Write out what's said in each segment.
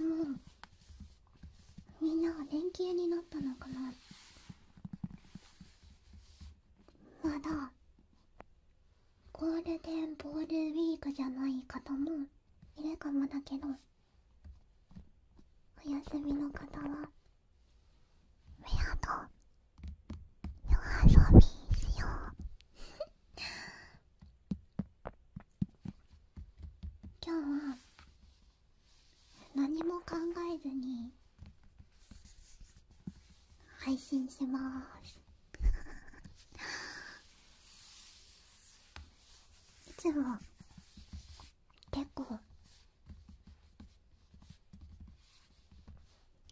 もうみんなは連休になったのかなまだゴールデンボールウィークじゃない方もいるかもだけどお休みの方はアと夜遊びしよう今日は何も考えずに配信しますいつも結構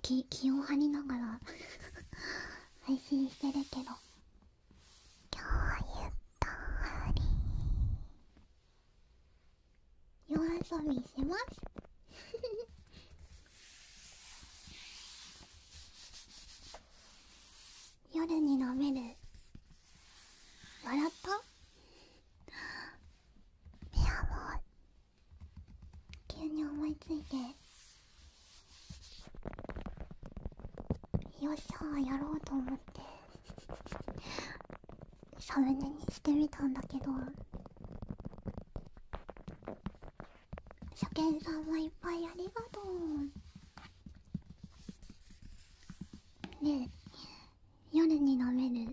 気を張りながら配信してるけど今日ゆったり夜遊びします 夜に飲める笑ったいやもう急に思いついてよっしゃやろうと思ってサムネにしてみたんだけど初見さんはいっぱいありがとうねえ夜に飲める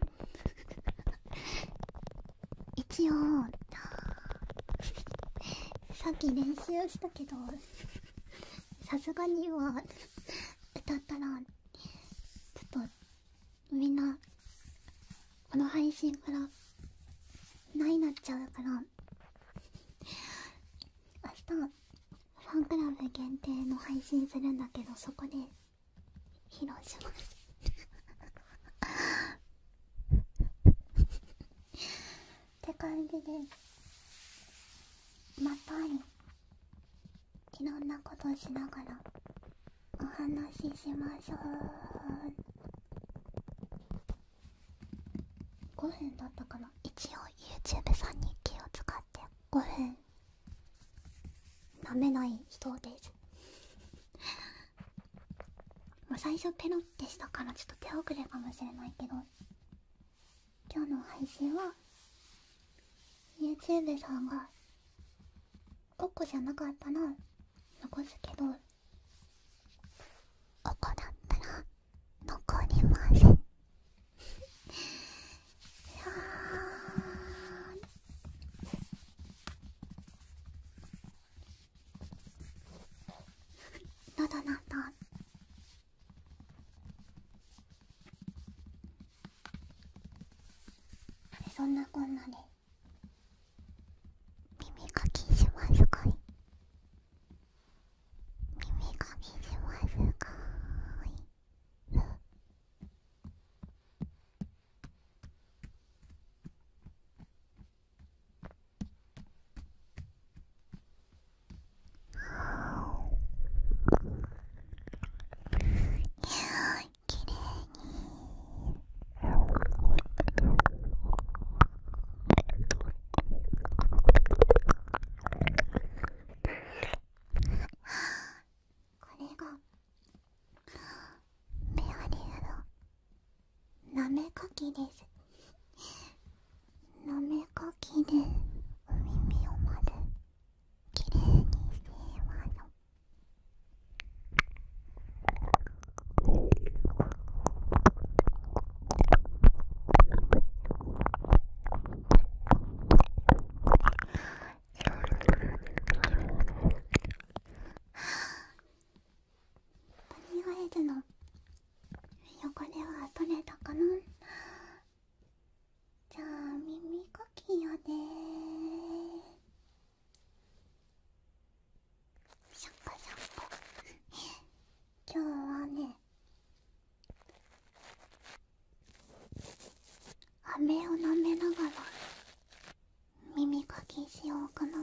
一応さっき練習したけどさすがには歌ったらちょっとみんなこの配信からないなっちゃうから明日ファンクラブ限定の配信するんだけどそこで披露しますって感じでまたいろんなことしながらお話ししましょう5分だったかな一応 YouTube さんに気を使って5分なめない人ですまあ、最初ペロってしたからちょっと手遅れかもしれないけど今日の配信は YouTube さんがおこじゃなかったら残すけどここだったら残ります。んいだ喉のだ。そんなこんなで耳かきしますかい耳かきしますかいきれいに。これがメアリーのなめかきですなめかきでお耳をまずきれいにしていますは何がエるの汚れは取れたかなじゃあ耳かきよねシャンコシャンコ今日はね飴を舐めながら耳かきしようかな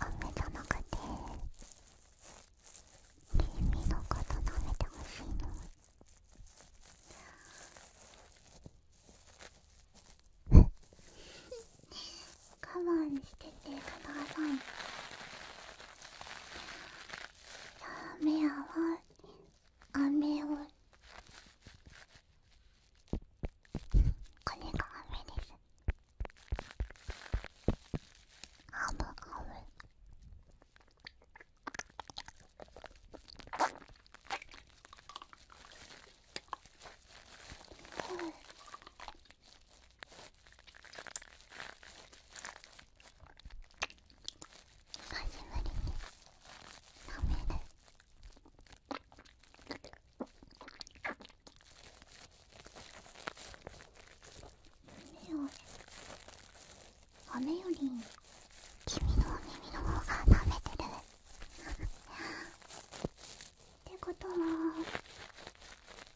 雨じゃなくて耳のこ舐めてほしいの。我慢しててください雨ーメンは雨をこれが雨ですあむあむ久しぶりに舐める目を雨より君のお耳の方が舐めてるってことは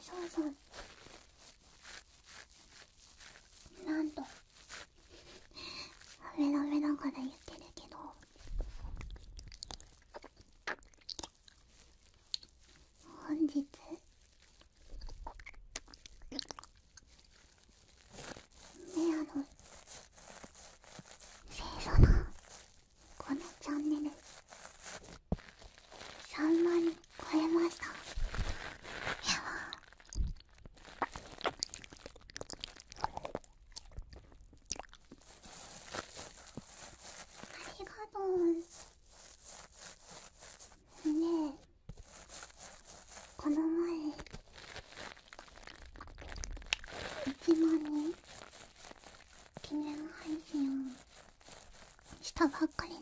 そうそうなんとベラベラから言ってるけど本日メアの清楚なこのチャンネル3万超えましたやばりがとうねえこの前一番に記念配信をしたばっかりね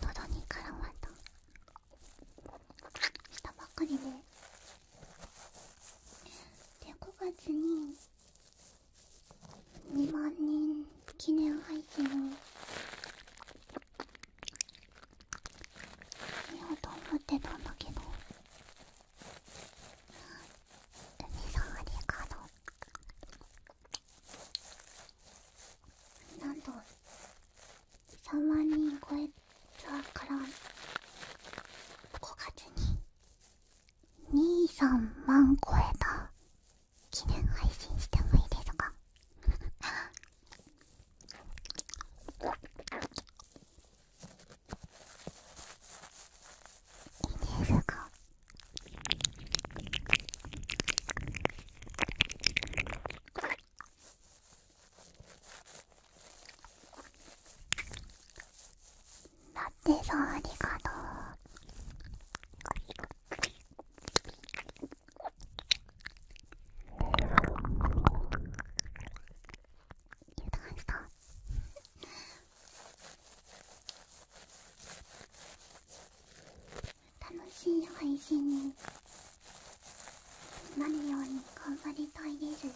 とどに絡まったしたばっかりでで5月に2万人記念配信を見ようと思ってたんだけど海さんありがと3万人超えたから5月に23万超えた記念配信してもいいですかいいですか ラって、そう、ありがとう楽しい配信になるように頑張りたいです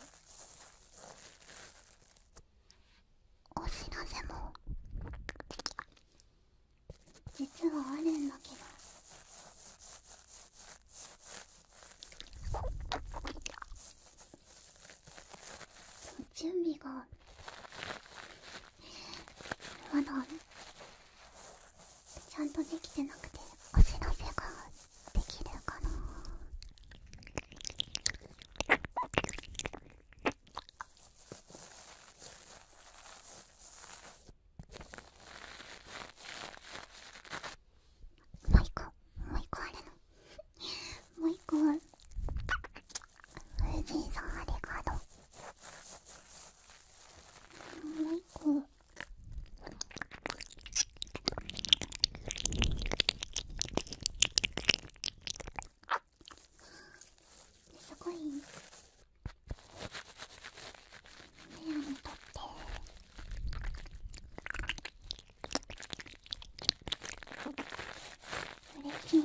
お知らせも実はあるんだけど準備がまだちゃんとできてなくてお知らせができるかなもう一個もう一個あるのもう一個は藤井さんありがとうもう一個すごい目をにとって嬉しい。